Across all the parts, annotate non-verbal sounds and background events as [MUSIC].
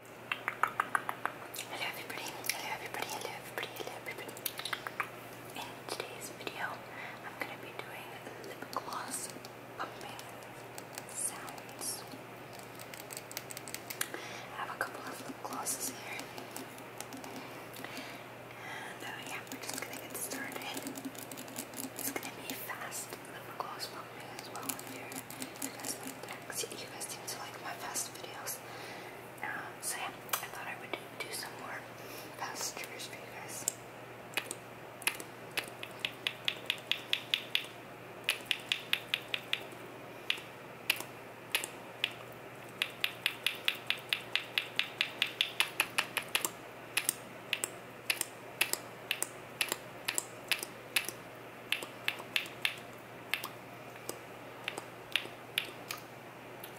Hello everybody, hello everybody, hello everybody, hello everybody. In today's video, I'm going to be doing lip gloss pumping sounds. I have a couple of lip glosses here. And uh, yeah, we're just going to get started. It's going to be fast lip gloss pumping as well if you guys seem to like my fast videos. Um, so I thought I would do some more fast triggers for you guys.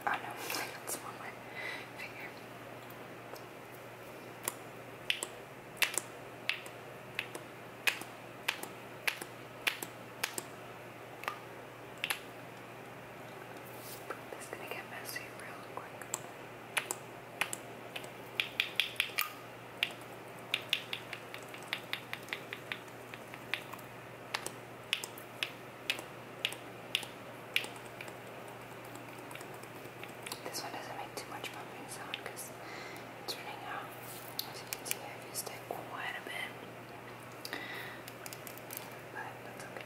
Oh no, [LAUGHS] that's one my finger. This is gonna get messy real quick. This one doesn't make too much bumping sound because it's running out. As you can see, I've used it quite a bit. But that's okay.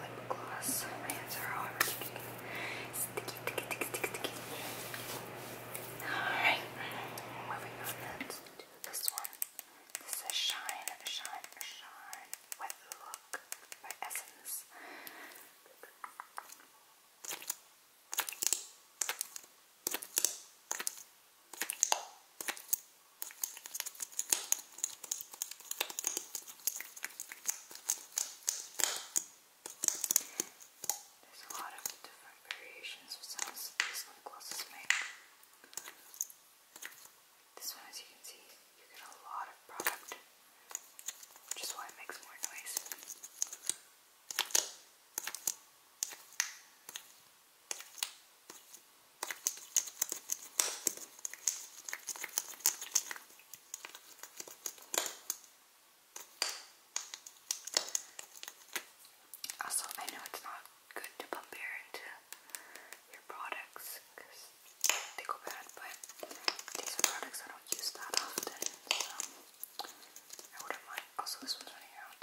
lip gloss. My hands are all sticky, sticky, sticky, sticky, sticky. Alright, moving on next to this one. This is Shine, Shine, Shine Wet Look by Essence. There's a lot of different variations of sounds these lip glosses make. This one, as you can see, you get a lot of product, which is why it makes more noise. Also, I know it's not good to pump air into your products because they go bad, but these are products I don't use that often, so I wouldn't mind. Also, this one's running out,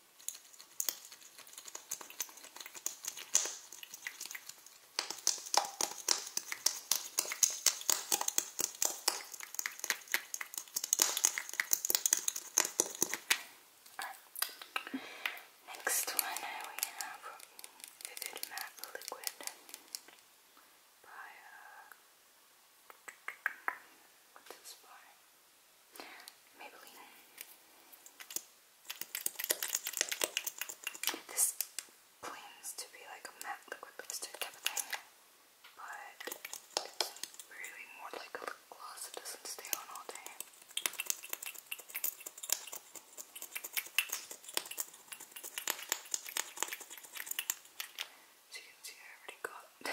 Right. Next one, we have Vivid Matte Liquid by, uh, what's this by? Maybelline. This claims to be like a matte liquid lipstick type of thing, but it's really more like a gloss that doesn't stay on all day. As you can see, I already got [LAUGHS]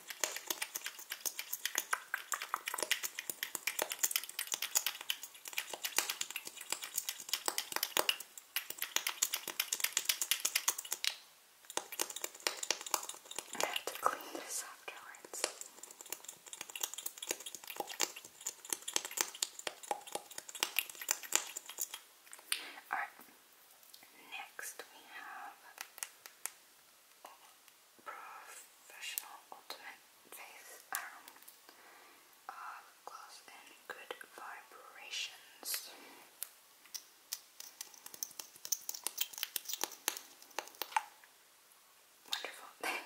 I have to clean this afterwards. Alright, next we have Professional Ultimate Face Arum uh, Lip Gloss Good Vibrations. Wonderful. [LAUGHS]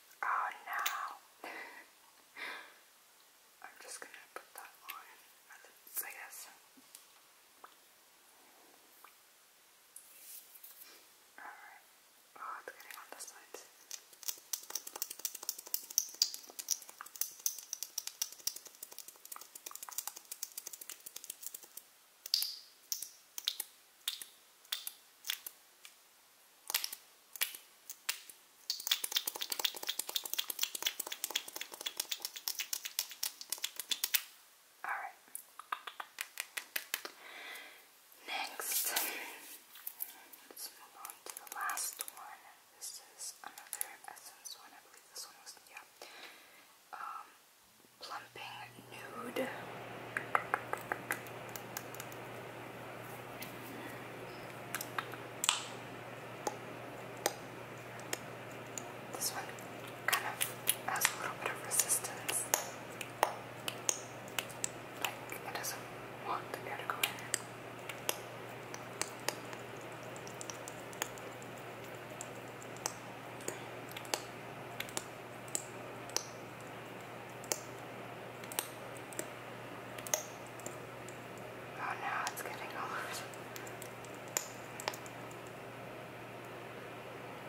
Oh no. I'm just gonna put that on I guess. Alright. Oh, it's getting on the sides. All right. Next, let's move on to the last one. This is another essence one. I believe this one was yeah. Um, Plumping Nude. This one kind of has a little bit of resistance. it doesn't want the air to go in. Oh no, it's getting all over.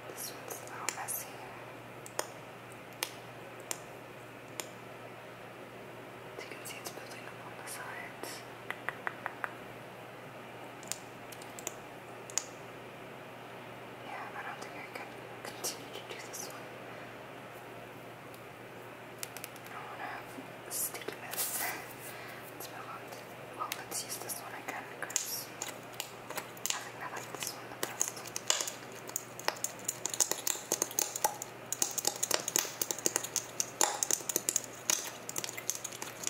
This one's a messy. As you can see, it's building up the sides. Yeah, I don't think I can continue to do this one. I don't want to have a let's move on. well, let's use this one again because I like this one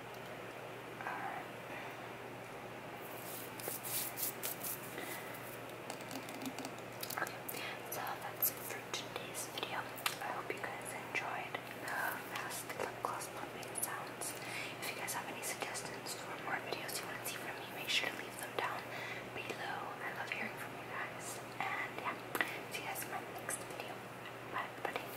Alright. so that's today's video. I hope you guys enjoyed the fast lip gloss plumping sounds. If you guys have any suggestions for more videos you want to see from me, make sure to leave them down below. I love hearing from you guys. And yeah, see you guys in my next video. Bye, everybody.